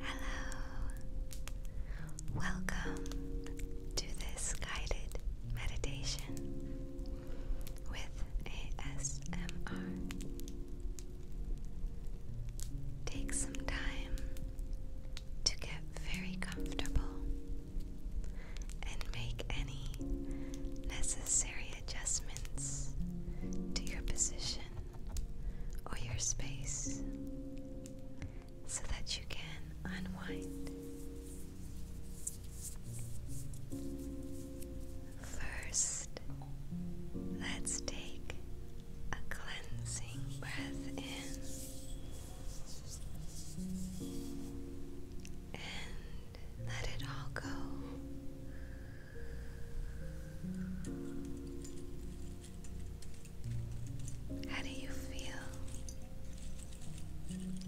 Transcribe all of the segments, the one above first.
Hello, welcome to this guided meditation with ASMR. Take some time to get very comfortable and make any necessary adjustments to your position or your space so that you can unwind. First, let's take a cleansing breath in and let it all go. How do you feel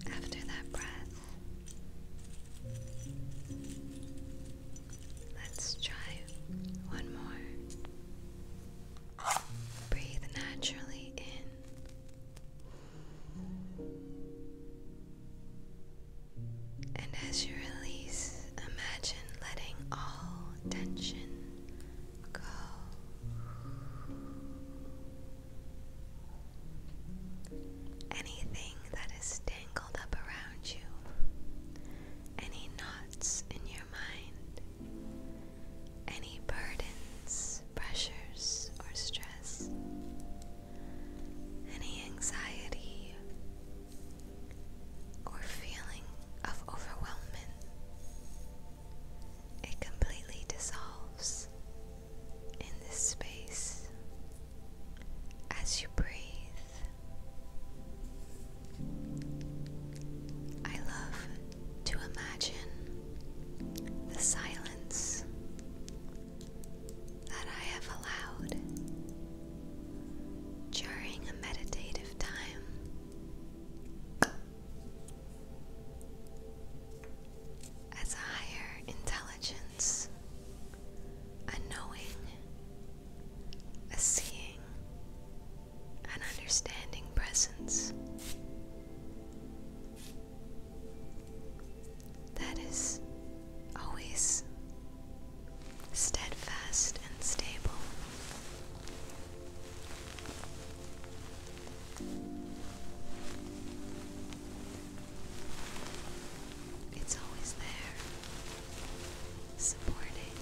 after that breath? Let's try one more. Breathe naturally in and as you release, imagine letting all tension go. Anything that is tangled up around you, any knots in your mind, any burdens, pressures, or stress, any anxiety, or feeling of overwhelming. It completely dissolves in this space as you breathe. I love to imagine the silence that I have allowed during a meditative time. As a higher intelligence, a knowing, a seeing, an understanding presence that is always steadfast and stable. It's always there, supporting,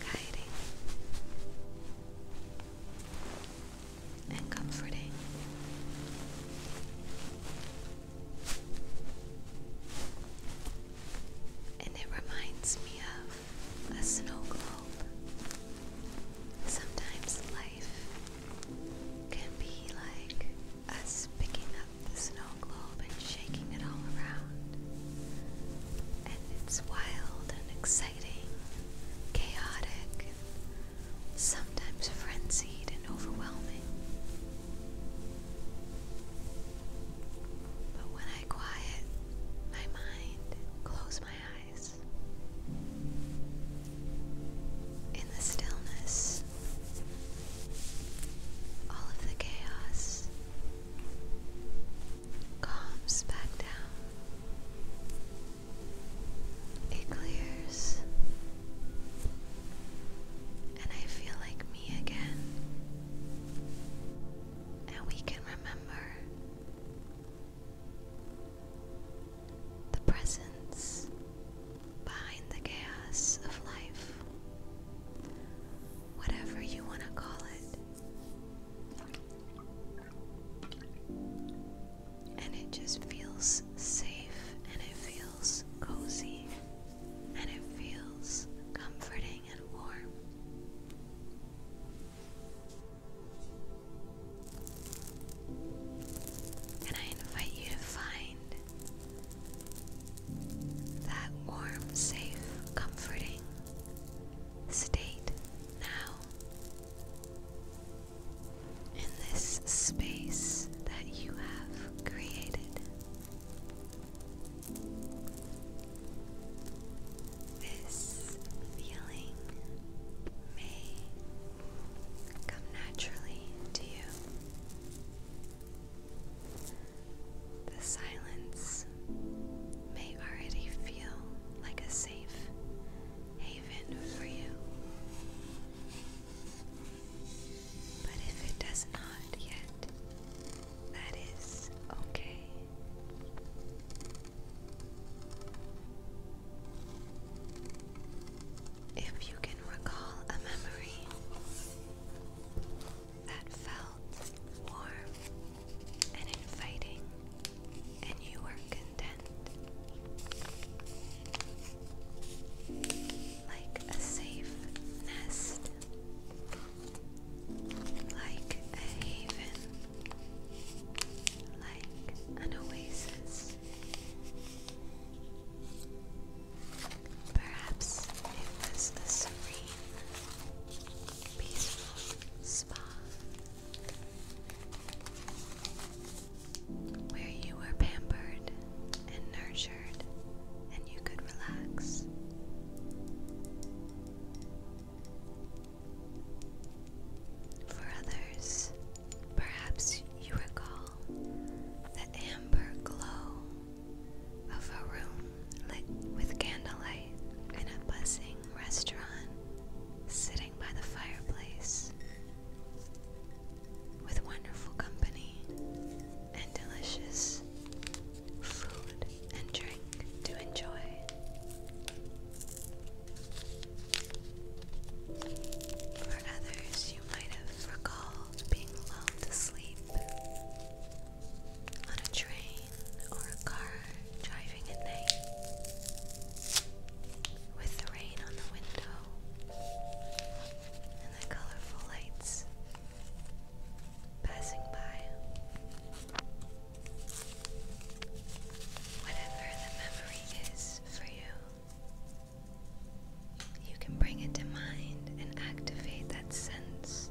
guiding, and comforting. And it reminds me of a snow globe. Sometimes life can be like us picking up the snow globe and shaking it all around. And it's wild and exciting, chaotic, sometimes frenzied and overwhelming. But when I quiet my mind, close my eyes. In the stillness, all of the chaos calms back down. It clears, and I feel like me again and we can remember the presence behind the chaos of life, whatever you want to call it. And it just feels safe and it feels cozy and it feels comforting and warm. And I invite you to find that warm, safe, comforting state now in this space that you have created. This feeling may come naturally to you. The silence may already feel like a safe haven for you. But if it does not yet, that is okay. If you can recall a memory that felt warm and inviting, and you were content, like a safe nest like a haven, like an oasis. Perhaps it was a serene, peaceful spa where you were pampered and nurtured, and you could relax. For others, perhaps you recall the amber glow of a room lit with candlelight in a buzzing restaurant sitting by the fireplace with wonderful company and delicious food and drink to enjoy. For others, you might have recalled being lulled to sleep on a train or a car driving at night with the rain on the window and the colorful lights passing by. Whatever the memory is for you, you can bring it to mind and activate that sense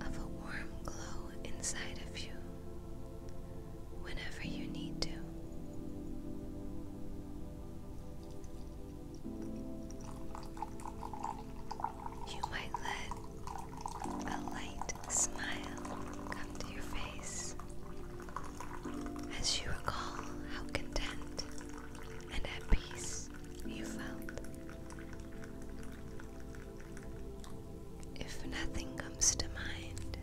of a warm glow inside of you whenever you need to. You might let a light smile come to your face as you recall how content and at peace you felt. If nothing comes to mind,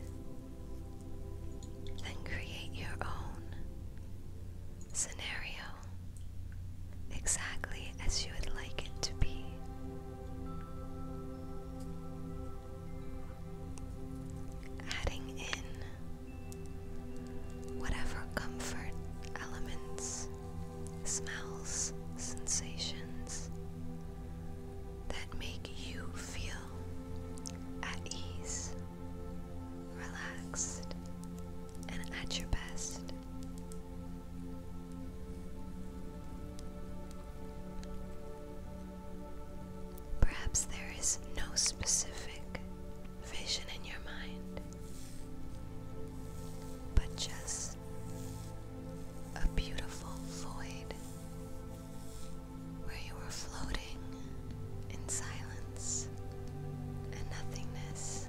then create your own scenario exactly as you would like it to be. Adding in whatever comfort elements, smells, sensations that make you feel at ease, relaxed, and at your best. Perhaps there is no specific vision in your mind, but just a beautiful void where you are floating in silence a nothingness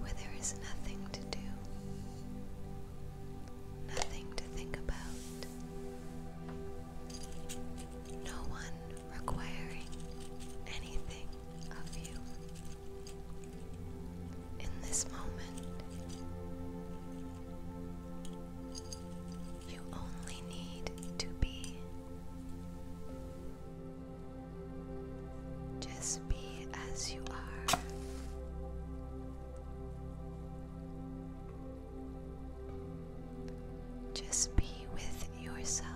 where there is nothing to do, nothing to think about, no one requiring anything of you. In this moment, you only need to be just be as you are. Just be with yourself.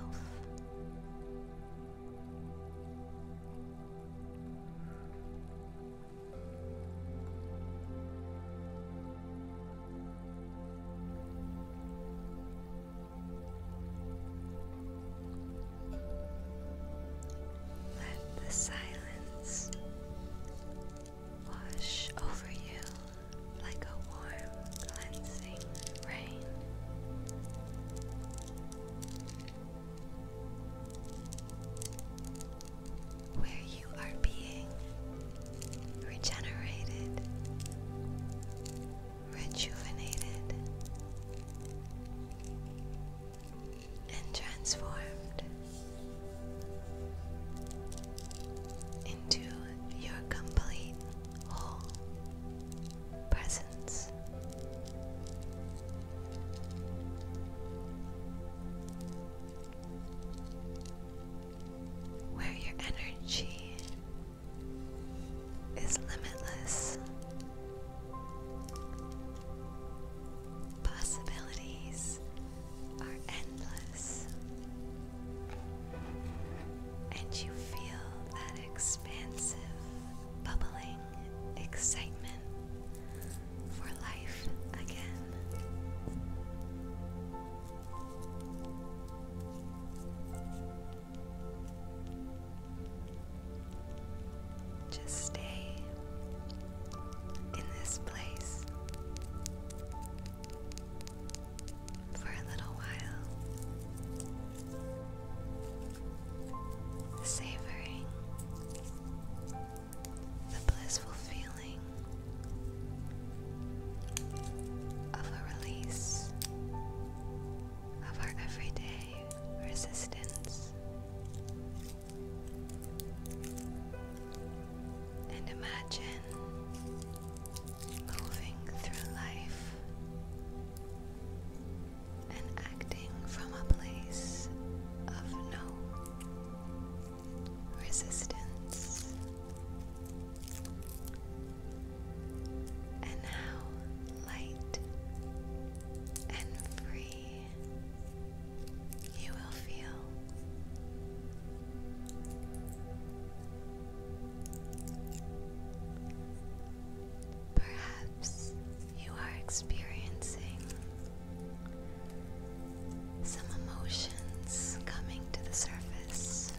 Let the silence wash over you like a warm, cleansing rain. Where you are being regenerated, rejuvenated, and transformed into your complete whole presence. Where your energy is limitless. Possibilities are endless, and you feel that expansive, bubbling excitement for life again. Just stay in this place for a little while, savoring the blissful feeling of a release of our everyday resistance. And imagine moving through life and acting from a place of no resistance and how light and free you will feel. Perhaps you are experiencing some emotions coming to the surface.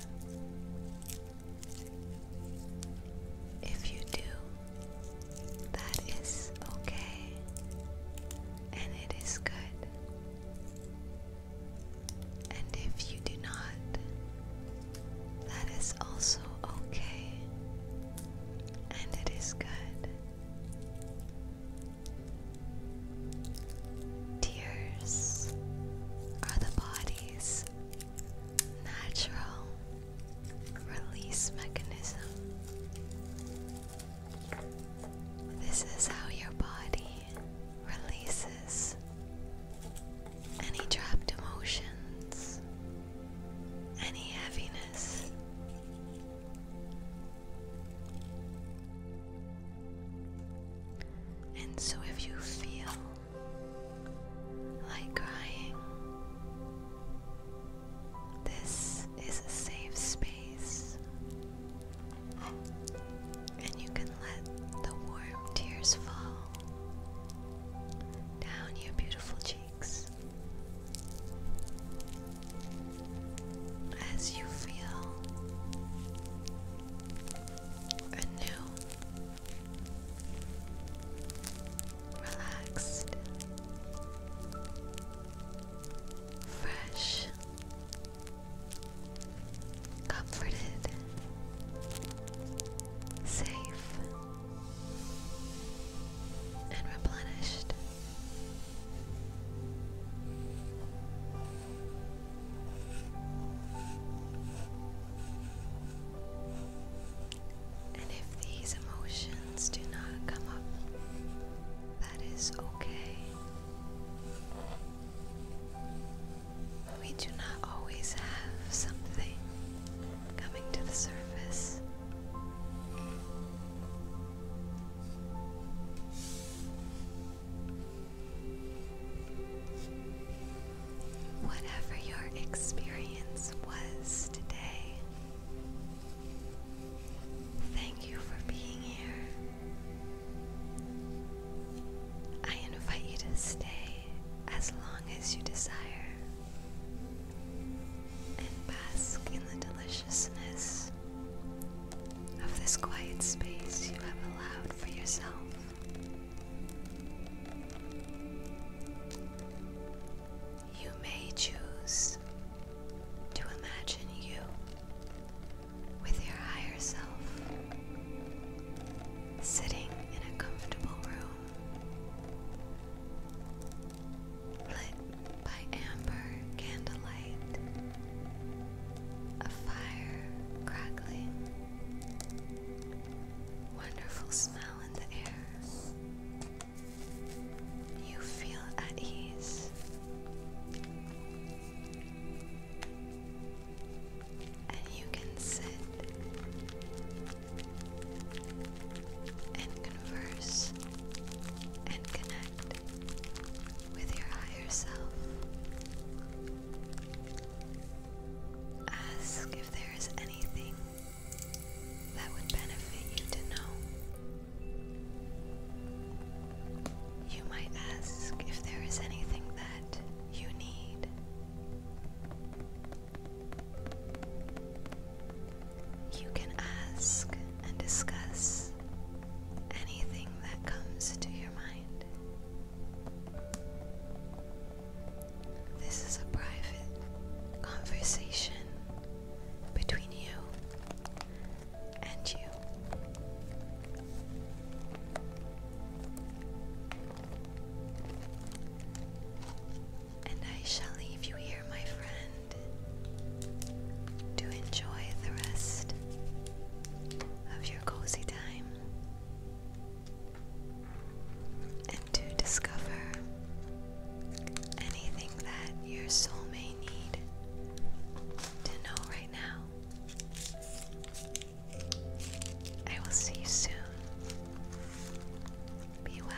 If you do, that is okay and it is good. And if you do not, that is also okay and it is good. Tears are the body's natural release mechanism. This is how your body releases any trapped emotions, any heaviness. And so, if you feel like crying. This is a safe space, and you can let the warm tears fall down your beautiful cheeks as you feel a relaxed, fresh, comforted, safe, and replenished. And if these emotions do not come up, that is okay. We do not always have something coming to the surface. Whatever your experience was today, thank you for being here. I invite you to stay as long as you desire and bask in the deliciousness of this quiet space you have allowed for yourself. You may choose to imagine you with your higher self sitting in a comfortable room lit by amber candlelight, a fire crackling wonderful smell in the air. You feel at ease. And you can sit and converse and connect with your higher self. Ask if there is anything that would benefit you to know. You might ask if there is anything that you need. You can ask and discuss anything that comes to your mind. This is a private conversation between you and you. And I shall leave you here, my friend, to enjoy the rest of your cozy time and to discover anything that your soul may need to know right now. I will see you soon. Be well.